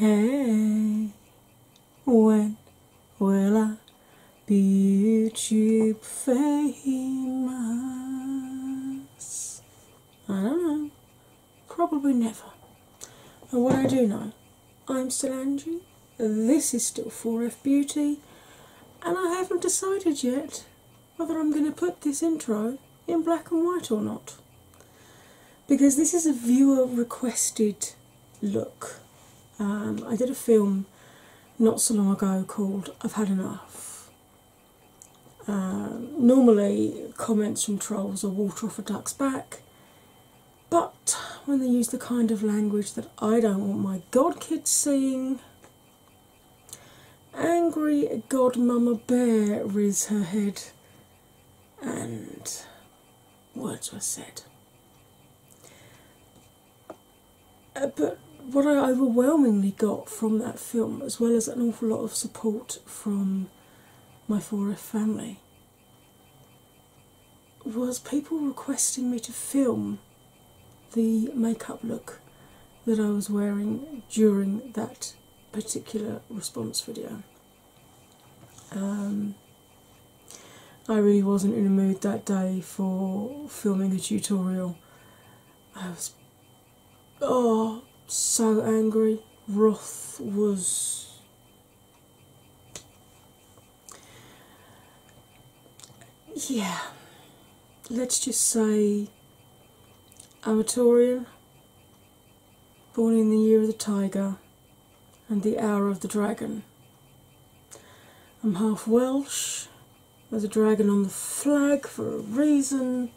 Hey, when will I be te famous? I don't know. Probably never. And what I do know, I'm still Angie, this is still 4F Beauty, and I haven't decided yet whether I'm going to put this intro in black and white or not. Because this is a viewer requested look. Um, I did a film not so long ago called I've Had Enough, uh, normally, comments from trolls are water off a duck's back, but when they use the kind of language that I don't want my godkids seeing, angry godmama bear riz her head, and words were said. Uh, what I overwhelmingly got from that film, as well as an awful lot of support from my 4F family, was people requesting me to film the makeup look that I was wearing during that particular response video. Um, I really wasn't in a mood that day for filming a tutorial. Oh, so angry. Wrath was. Yeah, let's just say Amatoria, born in the year of the tiger and the hour of the dragon. I'm half Welsh, there's a dragon on the flag for a reason,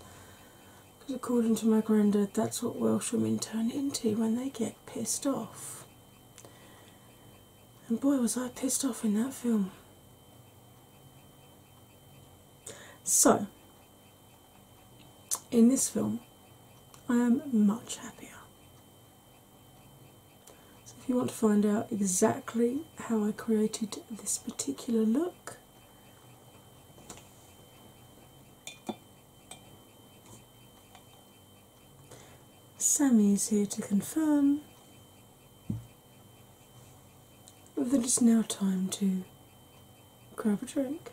because according to my granddad, that's what Welsh women turn into when they get pissed off. And boy, was I pissed off in that film. So, in this film, I am much happier. So, if you want to find out exactly how I created this particular look, Sammy's here to confirm that it's now time to grab a drink,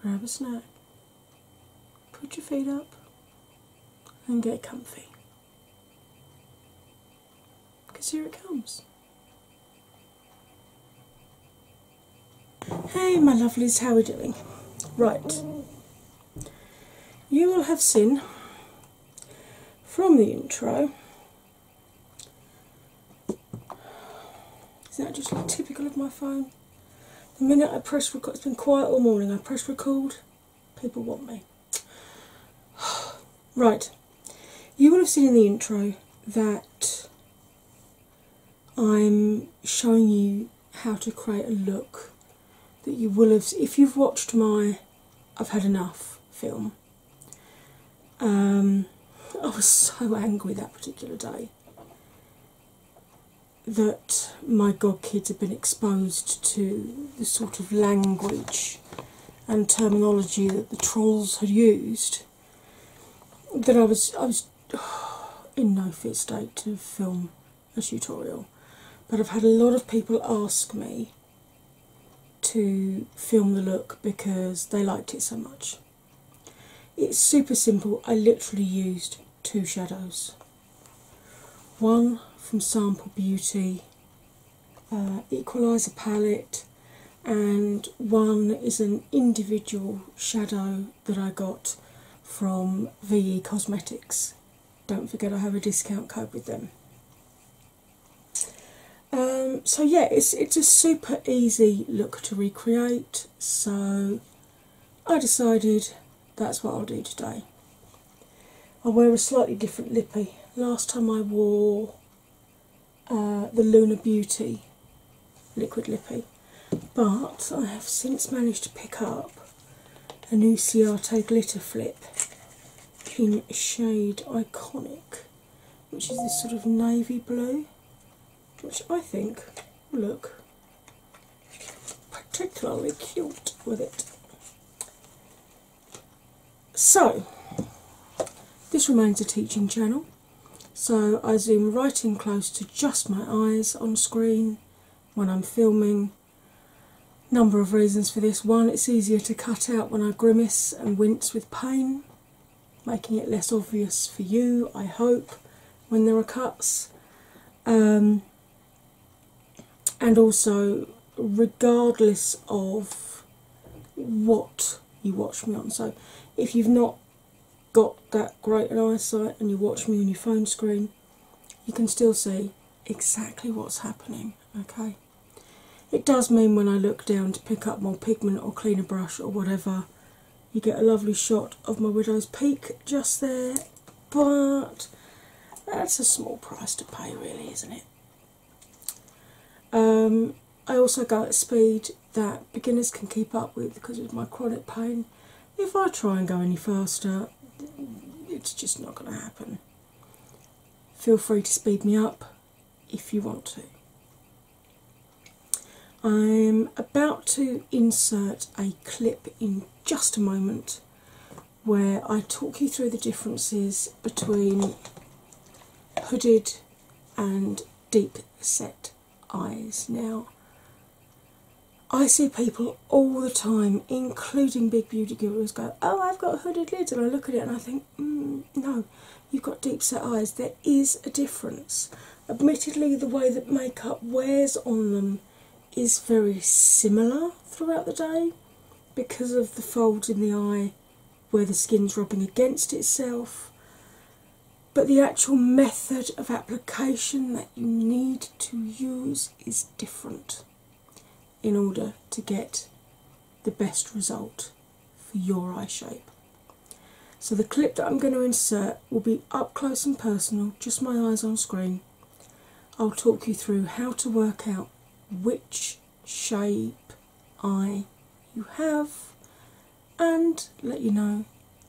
grab a snack, put your feet up, and get comfy. Because here it comes. Hey, my lovelies, how are we doing? Right. You will have seen from the intro. Isn't that just like typical of my phone? The minute I press record, it's been quiet all morning. I press record, people want me. right. You will have seen in the intro that I'm showing you how to create a look that you will have if you've watched my I've had enough film. Um, I was so angry that particular day that my godkids had been exposed to the sort of language and terminology that the trolls had used, that I was I was in no fit state to film a tutorial. But I've had a lot of people ask me to film the look because they liked it so much. It's super simple. I literally used two shadows. One from Sample Beauty uh, equalizer palette, and one is an individual shadow that I got from VE Cosmetics. Don't forget, I have a discount code with them. Um, so yeah, it's it's a super easy look to recreate. So I decided that's what I'll do today. i wear a slightly different lippy. Last time I wore uh, the Lunar Beauty liquid lippy, but I have since managed to pick up a new Uciato glitter flip in shade Iconic, which is this sort of navy blue, which I think will look particularly cute with it. So, this remains a teaching channel, so I zoom right in close to just my eyes on screen when I'm filming. Number of reasons for this. One, it's easier to cut out when I grimace and wince with pain, making it less obvious for you, I hope, when there are cuts. Um, and also, regardless of what you watch me on. So if you've not got that great an eyesight and you watch me on your phone screen, you can still see exactly what's happening. Okay. It does mean when I look down to pick up more pigment or cleaner brush or whatever, you get a lovely shot of my widow's peak just there, but that's a small price to pay, really, isn't it? Um, I also go at speed that beginners can keep up with because of my chronic pain. If I try and go any faster, it's just not going to happen. Feel free to speed me up if you want to. I'm about to insert a clip in just a moment where I talk you through the differences between hooded and deep set eyes. Now, I see people all the time, including big beauty gurus, go, Oh, I've got hooded lids, and I look at it and I think, mm, No, you've got deep set eyes. There is a difference. Admittedly, the way that makeup wears on them is very similar throughout the day because of the folds in the eye where the skin's rubbing against itself. But the actual method of application that you need to use is different in order to get the best result for your eye shape. So, the clip that I'm going to insert will be up close and personal, just my eyes on screen. I'll talk you through how to work out which shape eye you have, and let you know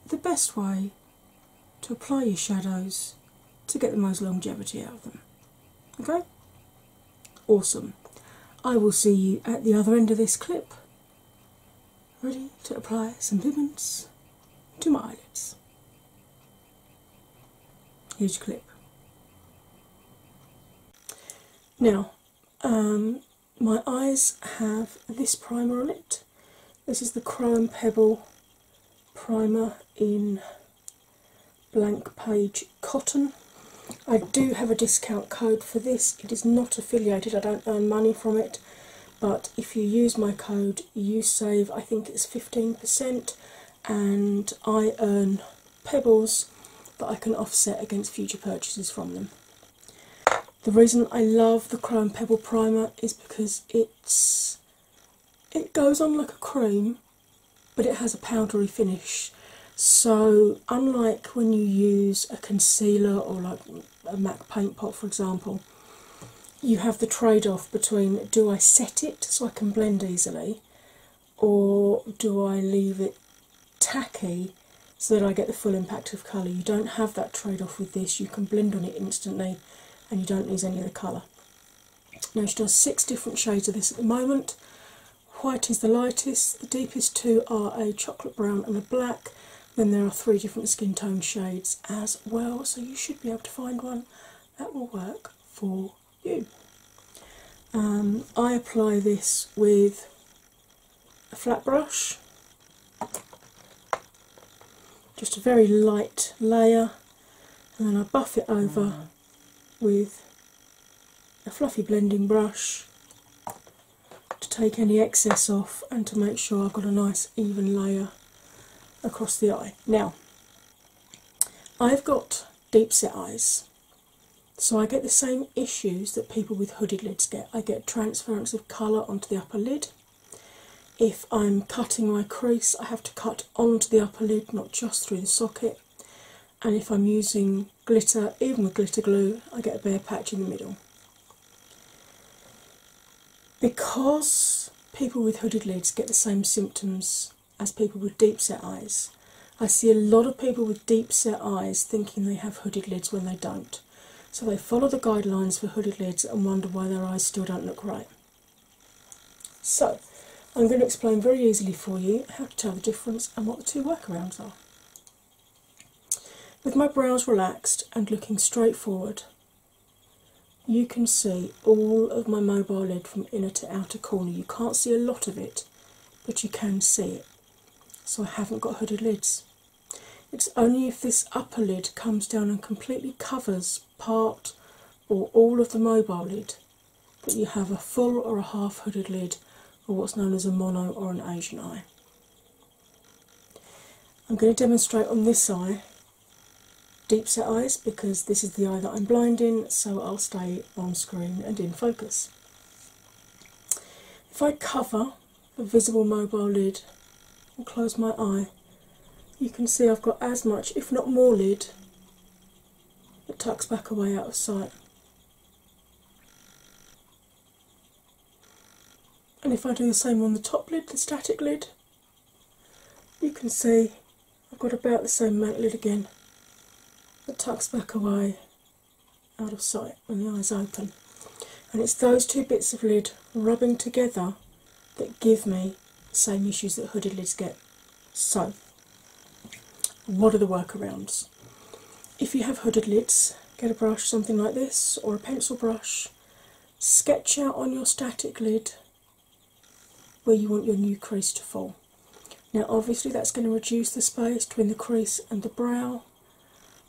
the best way to apply your shadows to get the most longevity out of them. Okay? Awesome. I will see you at the other end of this clip, ready to apply some pigments to my eyelids. Here's clip. Now, um, my eyes have this primer on it. This is the Crow Pebble primer in blank page cotton. I do have a discount code for this. It is not affiliated, I don't earn money from it, but if you use my code, you save I think it's 15% and I earn pebbles that I can offset against future purchases from them. The reason I love the Chrome Pebble Primer is because it's it goes on like a cream but it has a powdery finish. So unlike when you use a concealer or like a MAC paint pot for example, you have the trade-off between do I set it so I can blend easily or do I leave it tacky so that I get the full impact of colour? You don't have that trade off with this, you can blend on it instantly and you don't lose any of the colour. Now, she does six different shades of this at the moment. White is the lightest, the deepest two are a chocolate brown and a black. Then there are three different skin tone shades as well, so you should be able to find one that will work for you. Um, I apply this with a flat brush, just a very light layer, and then I buff it over mm. with a fluffy blending brush to take any excess off and to make sure I've got a nice even layer across the eye. Now, I've got deep set eyes so I get the same issues that people with hooded lids get. I get transference of colour onto the upper lid. If I'm cutting my crease, I have to cut onto the upper lid, not just through the socket. And if I'm using glitter, even with glitter glue, I get a bare patch in the middle. Because people with hooded lids get the same symptoms as people with deep set eyes, I see a lot of people with deep set eyes thinking they have hooded lids when they don't. So they follow the guidelines for hooded lids and wonder why their eyes still don't look right. So I'm going to explain very easily for you how to tell the difference and what the two workarounds are. With my brows relaxed and looking straight forward, you can see all of my mobile lid from inner to outer corner. You can't see a lot of it, but you can see it so I haven't got hooded lids. It's only if this upper lid comes down and completely covers part or all of the mobile lid that you have a full or a half hooded lid, or what's known as a mono or an Asian eye. I'm going to demonstrate on this eye deep set eyes because this is the eye that I'm blind in, so I'll stay on screen and in focus. If I cover the visible mobile lid and close my eye, you can see I've got as much, if not more, lid that tucks back away out of sight. And if I do the same on the top lid, the static lid, you can see I've got about the same amount lid again that tucks back away out of sight when the eyes open. And it's those two bits of lid rubbing together that give me the same issues that hooded lids get. So, what are the workarounds? If you have hooded lids, get a brush something like this or a pencil brush, sketch out on your static lid where you want your new crease to fall. Now, obviously, that's going to reduce the space between the crease and the brow,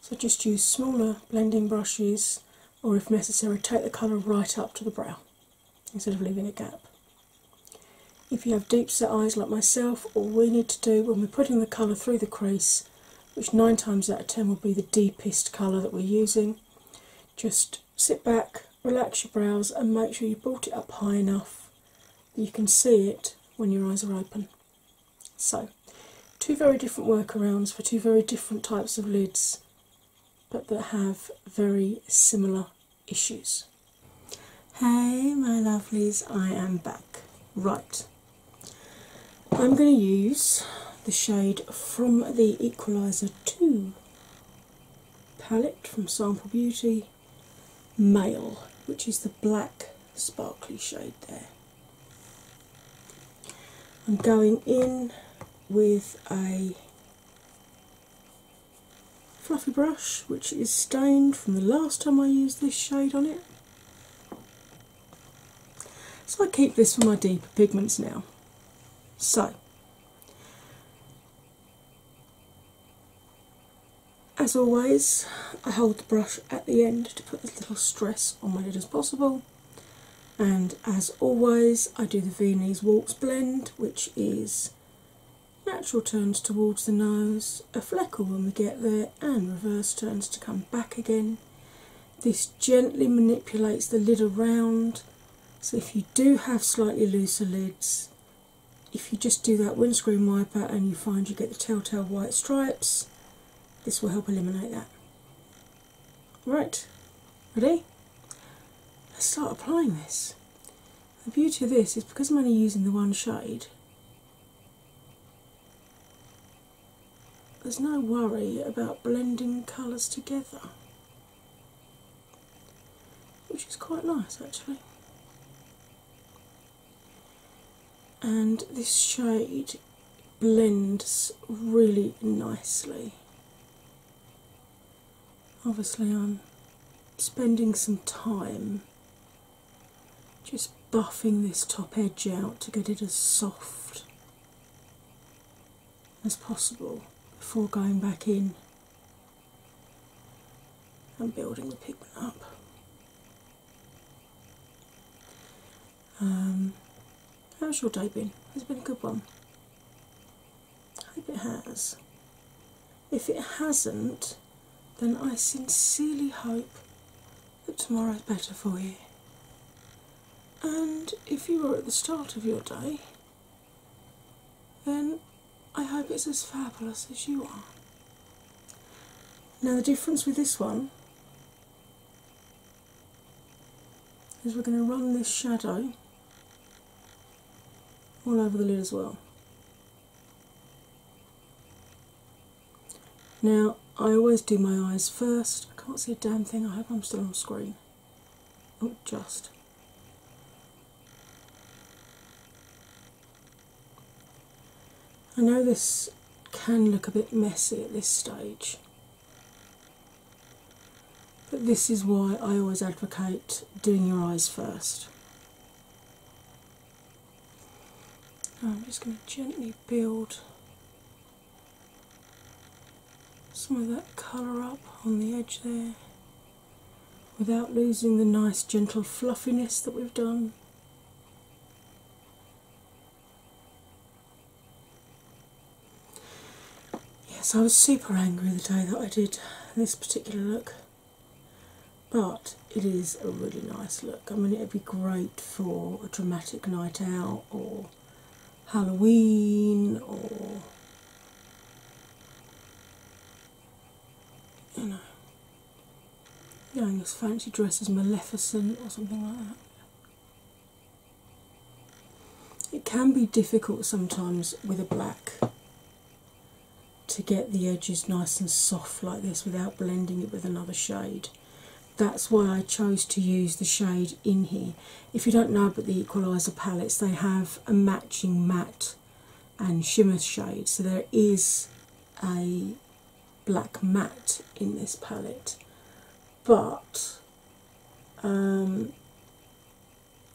so just use smaller blending brushes, or if necessary, take the colour right up to the brow instead of leaving a gap. If you have deep set eyes like myself, all we need to do when we're putting the colour through the crease, which nine times out of ten will be the deepest colour that we're using, just sit back, relax your brows, and make sure you brought it up high enough that you can see it when your eyes are open. So, two very different workarounds for two very different types of lids, but that have very similar issues. Hey, my lovelies, I am back. Right, I'm going to use the shade from the Equaliser 2 palette from Sample Beauty, Male, which is the black sparkly shade there. I'm going in with a fluffy brush which is stained from the last time I used this shade on it. So I keep this for my deeper pigments now. So as always, I hold the brush at the end to put as little stress on my lid as possible. And as always, I do the Viennese Waltz blend, which is natural turns towards the nose, a fleckle when we get there, and reverse turns to come back again. This gently manipulates the lid around, so if you do have slightly looser lids, if you just do that windscreen wiper and you find you get the telltale white stripes, this will help eliminate that. Right, ready? Let's start applying this. The beauty of this is because I'm only using the one shade, there's no worry about blending colours together, which is quite nice actually and this shade blends really nicely. Obviously, I'm spending some time just buffing this top edge out to get it as soft as possible before going back in and building the pigment up. Um, how's your day been? Has been a good one? I hope it has. If it hasn't, then I sincerely hope that tomorrow's better for you. And if you are at the start of your day, then I hope it's as fabulous as you are. Now, the difference with this one is we're going to run this shadow all over the lid as well. Now, I always do my eyes first. I can't see a damn thing. I hope I'm still on screen. Oh, just. I know this can look a bit messy at this stage, but this is why I always advocate doing your eyes first. I'm just going to gently build some of that colour up on the edge there without losing the nice gentle fluffiness that we've done. Yes, I was super angry the day that I did this particular look, but it is a really nice look. I mean, it would be great for a dramatic night out or Halloween or you know, you know, this fancy dress is Maleficent or something like that. It can be difficult sometimes with a black to get the edges nice and soft like this without blending it with another shade. That's why I chose to use the shade in here. If you don't know about the Equalizer palettes, they have a matching matte and shimmer shade, so there is a black matte in this palette, but um,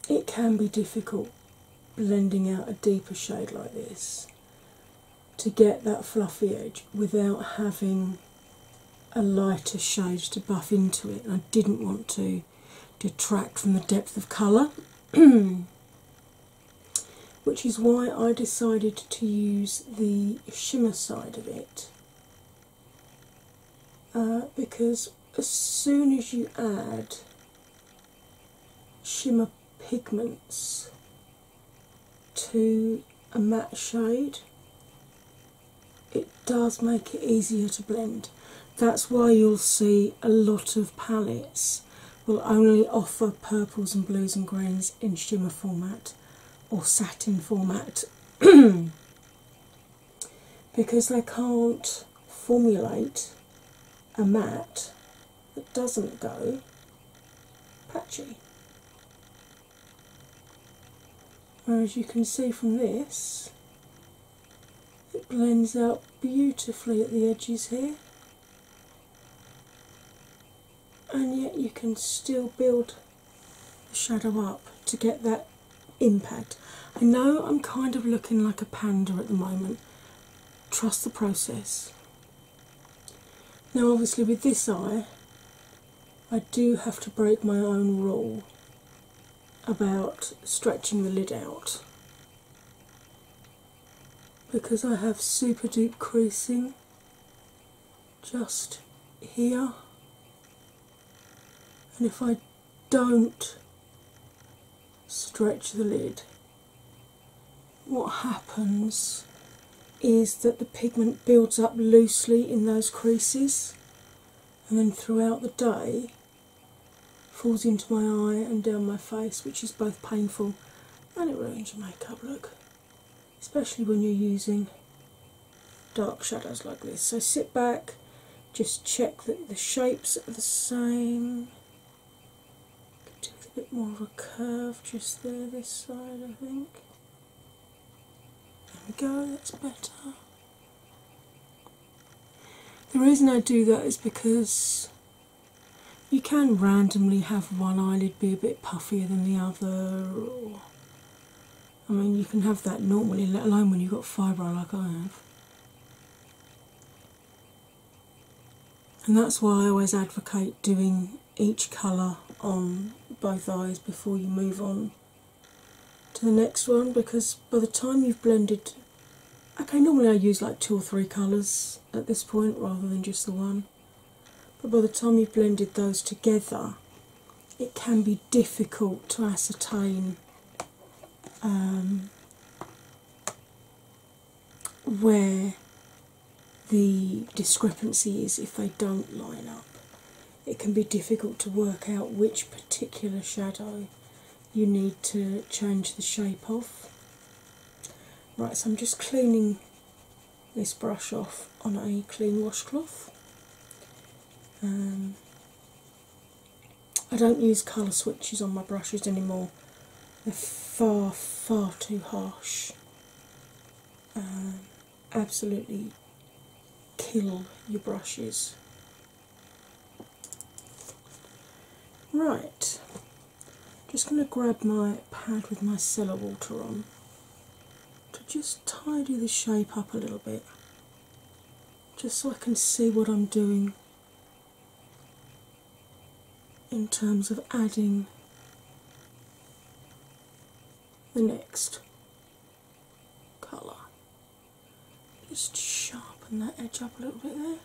it can be difficult blending out a deeper shade like this to get that fluffy edge without having a lighter shade to buff into it. I didn't want to detract from the depth of colour. which is why I decided to use the shimmer side of it. Uh, because as soon as you add shimmer pigments to a matte shade, it does make it easier to blend. That's why you'll see a lot of palettes will only offer purples and blues and greens in shimmer format or satin format because they can't formulate a matte that doesn't go patchy. Whereas you can see from this, it blends out beautifully at the edges here and yet you can still build the shadow up to get that impact. I know I'm kind of looking like a panda at the moment. Trust the process. Now, obviously, with this eye, I do have to break my own rule about stretching the lid out because I have super deep creasing just here, and if I don't stretch the lid, what happens is that the pigment builds up loosely in those creases and then throughout the day falls into my eye and down my face, which is both painful and it ruins your makeup look especially when you're using dark shadows like this. So sit back, just check that the shapes are the same. Do a bit more of a curve just there, this side, I think. There we go, that's better. The reason I do that is because you can randomly have one eyelid be a bit puffier than the other, I mean, you can have that normally, let alone when you've got fibro like I have. And that's why I always advocate doing each colour on both eyes before you move on to the next one because by the time you've blended, okay, normally I use like two or three colours at this point rather than just the one but by the time you've blended those together, it can be difficult to ascertain um, where the discrepancy is if they don't line up. It can be difficult to work out which particular shadow you need to change the shape of. Right, so I'm just cleaning this brush off on a clean washcloth. Um, I don't use colour switches on my brushes anymore, they're far, far too harsh. Um, absolutely kill your brushes. Right, just going to grab my pad with my cellar water on to just tidy the shape up a little bit, just so I can see what I'm doing in terms of adding the next colour. Just sharpen that edge up a little bit there.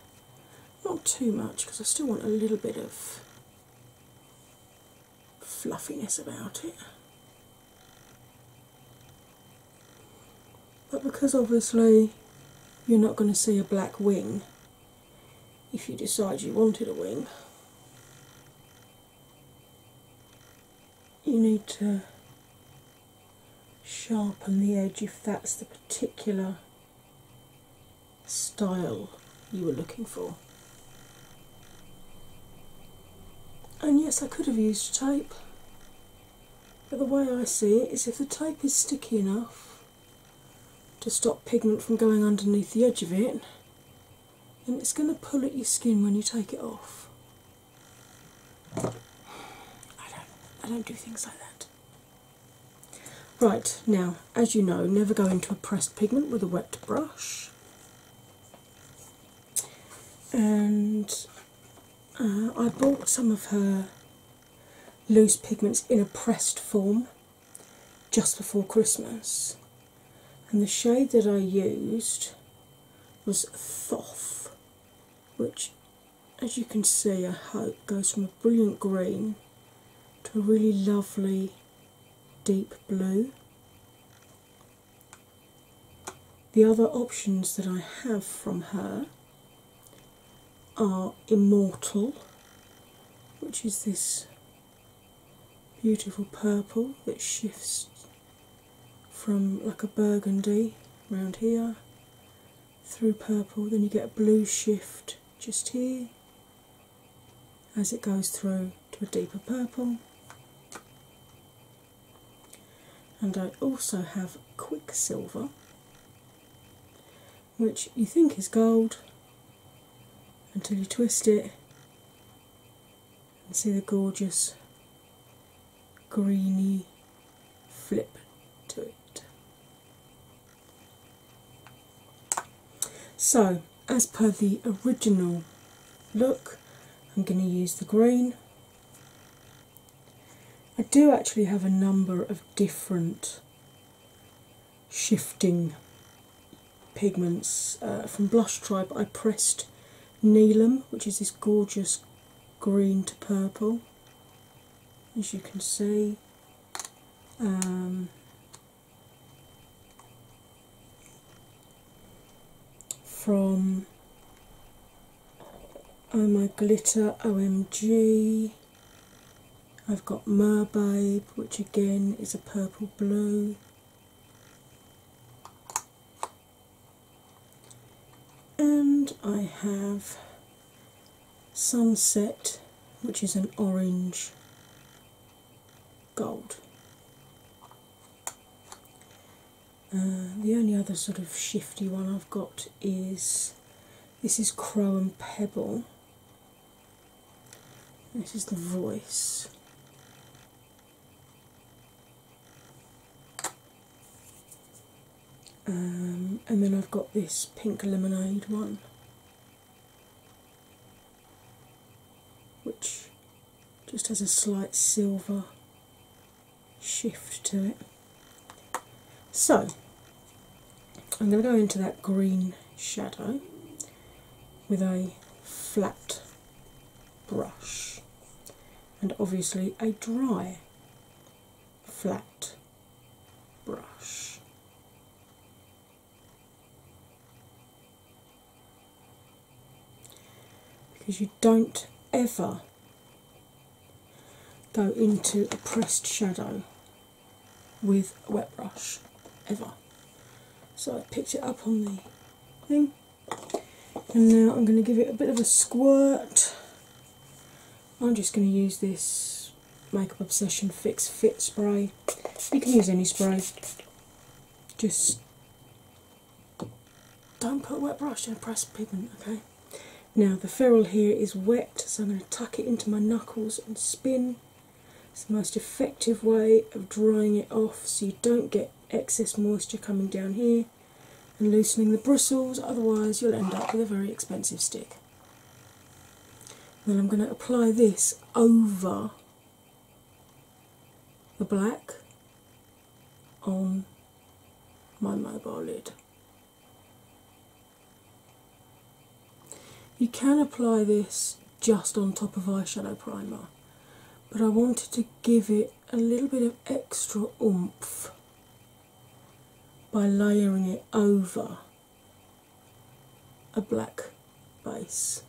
Not too much because I still want a little bit of fluffiness about it. But because obviously you're not going to see a black wing if you decide you wanted a wing, you need to sharpen the edge if that's the particular style you were looking for. And yes, I could have used tape, but the way I see it is if the tape is sticky enough to stop pigment from going underneath the edge of it, then it's going to pull at your skin when you take it off. I don't, I don't do things like that. Right now, as you know, never go into a pressed pigment with a wet brush. And uh, I bought some of her loose pigments in a pressed form just before Christmas. And the shade that I used was Thoth, which, as you can see, I hope goes from a brilliant green to a really lovely deep blue. The other options that I have from her are Immortal, which is this beautiful purple that shifts from like a burgundy around here through purple, then you get a blue shift just here as it goes through to a deeper purple. And I also have Quicksilver, which you think is gold until you twist it and see the gorgeous greeny flip to it. So, as per the original look, I'm going to use the green. I do actually have a number of different shifting pigments uh, from Blush Tribe. I pressed Neelam, which is this gorgeous green to purple, as you can see. Um, from Oh My Glitter OMG. I've got Babe, which again is a purple blue. And I have Sunset, which is an orange gold. Uh, the only other sort of shifty one I've got is this is Crow and Pebble. This is the voice. Um, and then I've got this pink lemonade one which just has a slight silver shift to it. So I'm going to go into that green shadow with a flat brush and obviously a dry flat brush because you don't ever go into a pressed shadow with a wet brush ever. So I picked it up on the thing, and now I'm going to give it a bit of a squirt. I'm just going to use this Makeup Obsession Fix Fit Spray. You can use any spray, just don't put wet brush in a press pigment, okay? Now the ferrule here is wet, so I'm going to tuck it into my knuckles and spin. It's the most effective way of drying it off so you don't get excess moisture coming down here and loosening the bristles, otherwise you'll end up with a very expensive stick. Then I'm going to apply this over the black on my mobile lid. You can apply this just on top of eyeshadow primer, but I wanted to give it a little bit of extra oomph by layering it over a black base.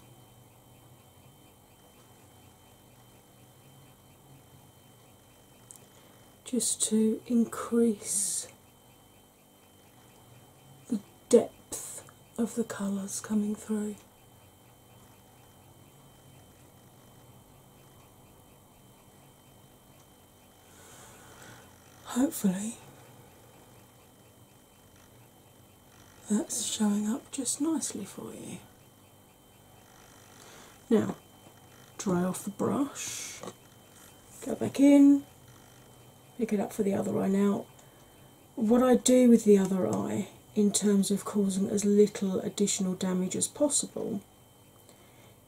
Just to increase the depth of the colours coming through. Hopefully, that's showing up just nicely for you. Now, dry off the brush, go back in, pick it up for the other eye. Now, what I do with the other eye in terms of causing as little additional damage as possible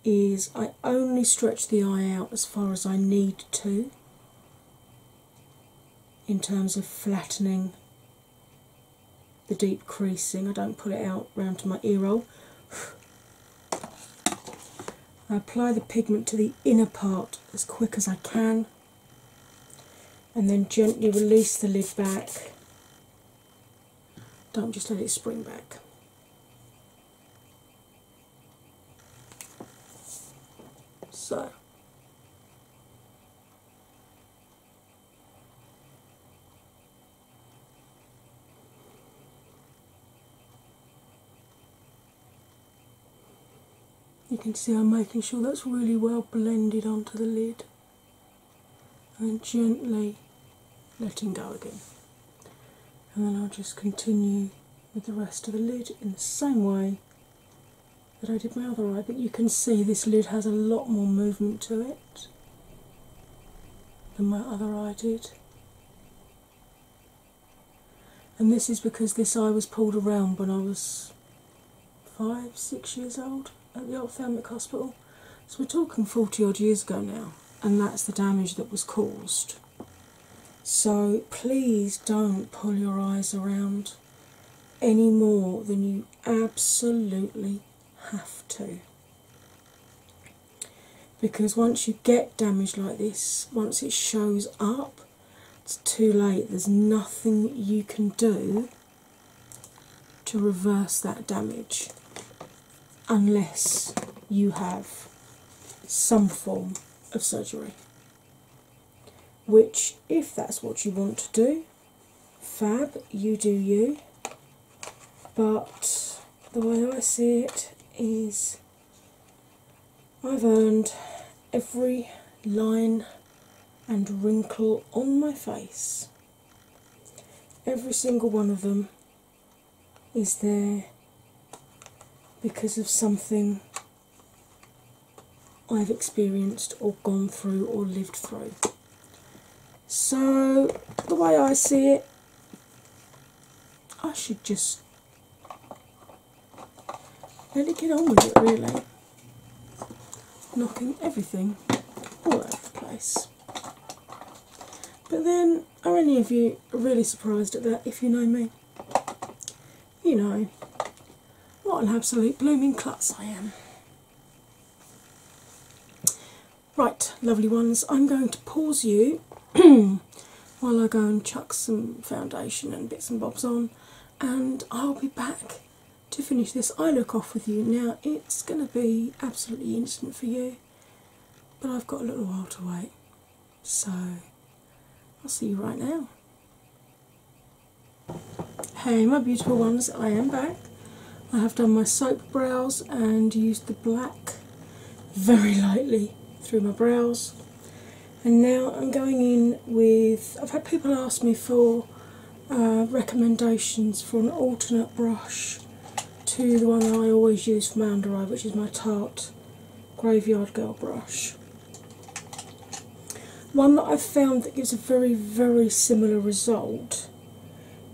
is I only stretch the eye out as far as I need to in terms of flattening the deep creasing. I don't pull it out round to my ear roll. I apply the pigment to the inner part as quick as I can and then gently release the lid back. Don't just let it spring back. So you can see I'm making sure that's really well blended onto the lid and gently letting go again. And then I'll just continue with the rest of the lid in the same way that I did my other eye, but you can see this lid has a lot more movement to it than my other eye did. And this is because this eye was pulled around when I was five, six years old at the ophthalmic hospital. So we're talking 40 odd years ago now, and that's the damage that was caused. So please don't pull your eyes around any more than you absolutely have to. Because once you get damage like this, once it shows up, it's too late. There's nothing you can do to reverse that damage unless you have some form of surgery. Which, if that's what you want to do, fab, you do you. But the way I see it is I've earned every line and wrinkle on my face. Every single one of them is there because of something I've experienced or gone through or lived through. So, the way I see it, I should just let it get on with it really. Knocking everything all over the place. But then, are any of you really surprised at that if you know me? you know, what an absolute blooming klutz I am. Right, lovely ones, I'm going to pause you while I go and chuck some foundation and bits and bobs on, and I'll be back to finish this I look off with you. Now, it's going to be absolutely instant for you, but I've got a little while to wait. So, I'll see you right now. Hey my beautiful ones, I am back. I have done my soap brows and used the black very lightly through my brows. And now I'm going in with. I've had people ask me for uh, recommendations for an alternate brush to the one I always use for my under eye, which is my Tarte Graveyard Girl brush. One that I've found that gives a very, very similar result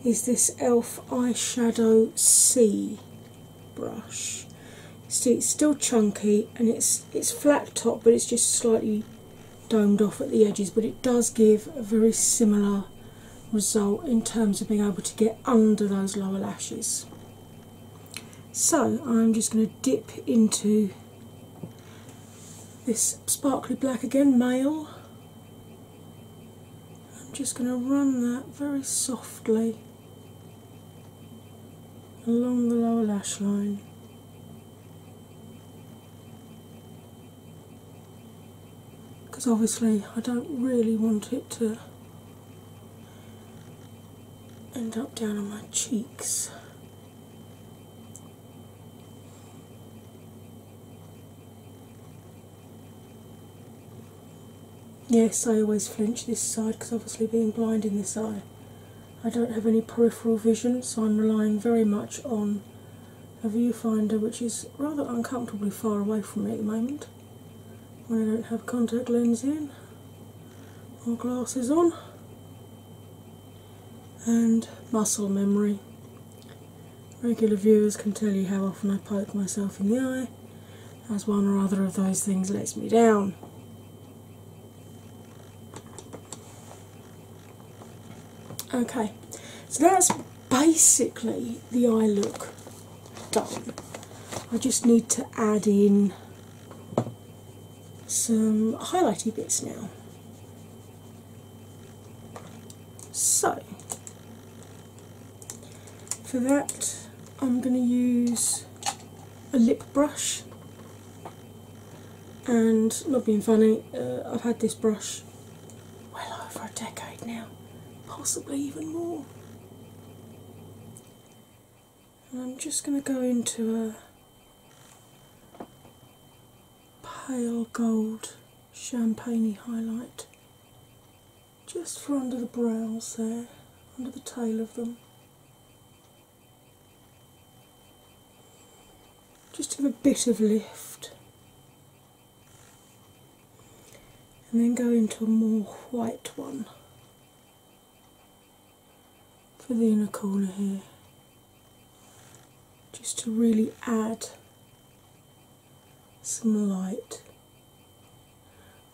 is this ELF Eyeshadow C brush. See, it's still chunky and it's it's flat top, but it's just slightly domed off at the edges. But it does give a very similar result in terms of being able to get under those lower lashes. So I'm just going to dip into this sparkly black again, male. I'm just going to run that very softly along the lower lash line. Because obviously, I don't really want it to end up down on my cheeks. Yes, I always flinch this side because obviously, being blind in this eye, I don't have any peripheral vision, so I'm relying very much on a viewfinder which is rather uncomfortably far away from me at the moment I don't have contact lens in or glasses on and muscle memory. Regular viewers can tell you how often I poke myself in the eye, as one or other of those things lets me down. Okay, so that's basically the eye look done. I just need to add in some highlighty bits now. So, for that, I'm going to use a lip brush. And not being funny, uh, I've had this brush well over a decade now, possibly even more. I'm just going to go into a pale gold champagne highlight just for under the brows there, under the tail of them. Just give a bit of lift. And then go into a more white one for the inner corner here, just to really add some light.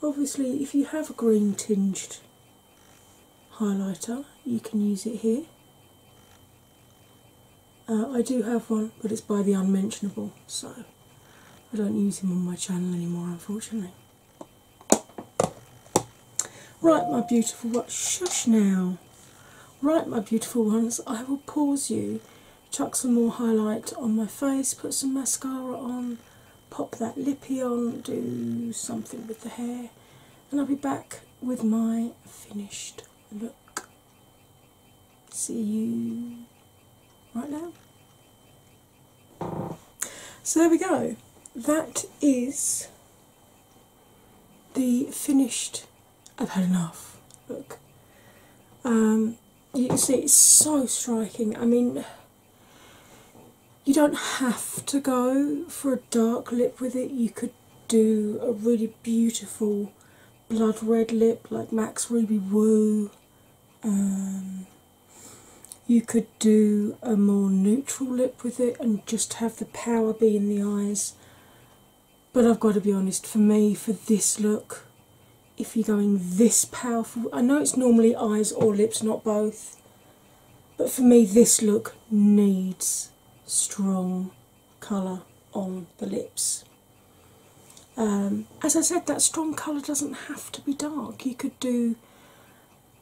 Obviously, if you have a green tinged highlighter, you can use it here. Uh, I do have one, but it's by the unmentionable, so I don't use him on my channel anymore, unfortunately. Right, my beautiful ones, shush now. Right, my beautiful ones, I will pause you, chuck some more highlight on my face, put some mascara on, pop that lippy on, do something with the hair, and I'll be back with my finished look. See you right now. So there we go. That is the finished I've had enough look. Um, you can see it's so striking. I mean, you don't have to go for a dark lip with it. You could do a really beautiful blood red lip like Max Ruby Woo. Um, you could do a more neutral lip with it and just have the power be in the eyes. But I've got to be honest, for me, for this look, if you're going this powerful, I know it's normally eyes or lips, not both, but for me, this look needs strong colour on the lips. Um, as I said, that strong colour doesn't have to be dark. You could do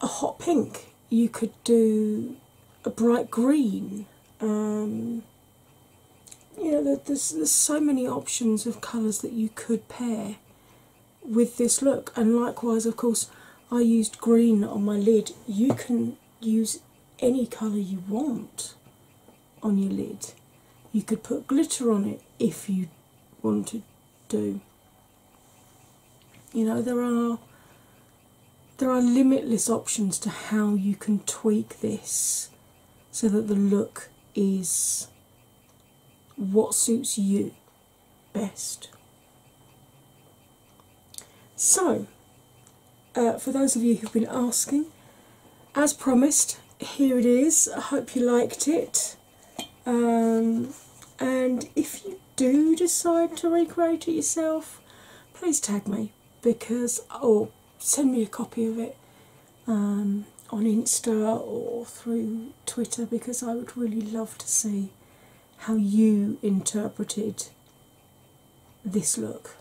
a hot pink, you could do a bright green. Um, you know, there's, there's so many options of colours that you could pair with this look, and likewise, of course, I used green on my lid. You can use any colour you want on your lid. You could put glitter on it if you wanted to. You know, there are there are limitless options to how you can tweak this so that the look is what suits you best. So, uh, for those of you who've been asking, as promised, here it is. I hope you liked it. Um, and if you do decide to recreate it yourself, please tag me because or send me a copy of it um, on Insta or through Twitter because I would really love to see how you interpreted this look.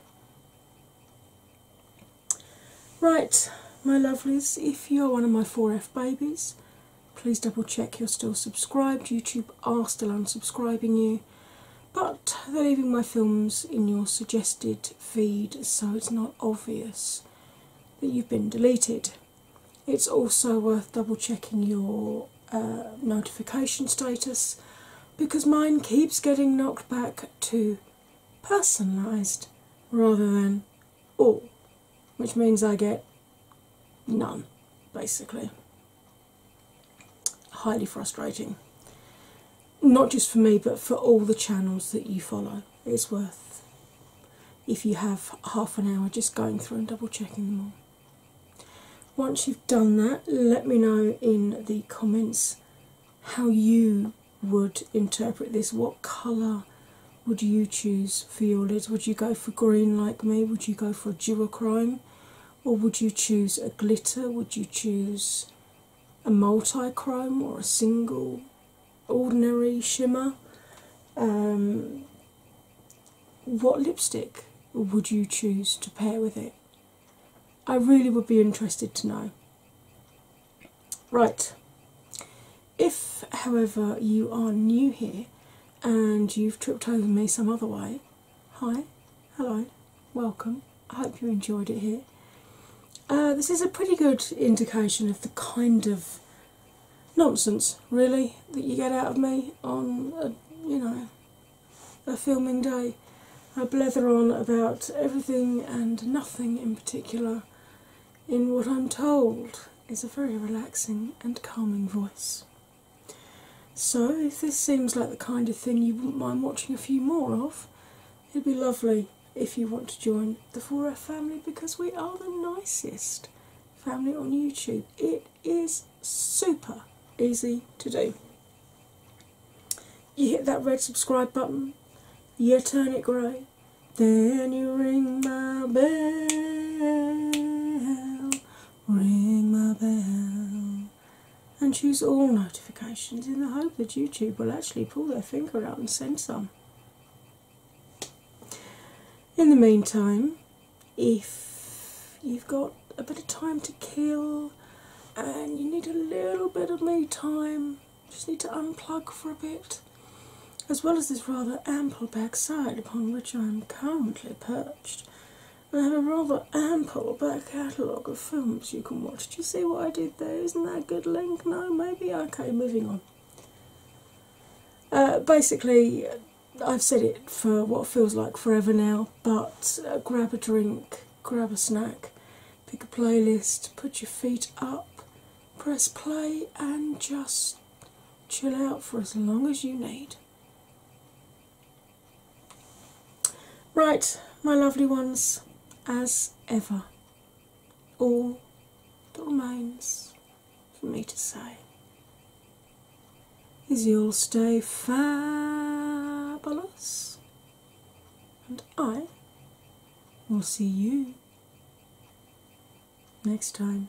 Right, my lovelies, if you're one of my 4F babies, please double check you're still subscribed. YouTube are still unsubscribing you but they're leaving my films in your suggested feed so it's not obvious that you've been deleted. It's also worth double checking your uh, notification status because mine keeps getting knocked back to personalised rather than all, which means I get none basically highly frustrating. Not just for me, but for all the channels that you follow. It's worth, if you have half an hour, just going through and double checking them all. Once you've done that, let me know in the comments how you would interpret this. What colour would you choose for your lids? Would you go for green like me? Would you go for a duochrome? or would you choose a glitter? Would you choose a multi-chrome or a single ordinary shimmer? Um, what lipstick would you choose to pair with it? I really would be interested to know. Right, if however you are new here and you've tripped over me some other way, Hi, hello, welcome. I hope you enjoyed it here. Uh, this is a pretty good indication of the kind of nonsense, really, that you get out of me on a, you know a filming day. I blether on about everything and nothing in particular in what I'm told is a very relaxing and calming voice. So, if this seems like the kind of thing you wouldn't mind watching a few more of, it'd be lovely if you want to join the Fora family because we are the nicest family on YouTube. It is super easy to do. You hit that red subscribe button, you turn it grey, then you ring my bell ring my bell, and choose all notifications in the hope that YouTube will actually pull their finger out and send some. In the meantime, if you've got a bit of time to kill and you need a little bit of me time, just need to unplug for a bit, as well as this rather ample backside upon which I'm currently perched, I have a rather ample back catalogue of films you can watch. Do you see what I did there? Isn't that a good link? No, maybe? Okay, moving on. Uh, basically, I've said it for what feels like forever now, but uh, grab a drink, grab a snack, pick a playlist, put your feet up, press play, and just chill out for as long as you need. Right, my lovely ones, as ever, all that remains for me to say is you'll stay fabulous, and I will see you next time.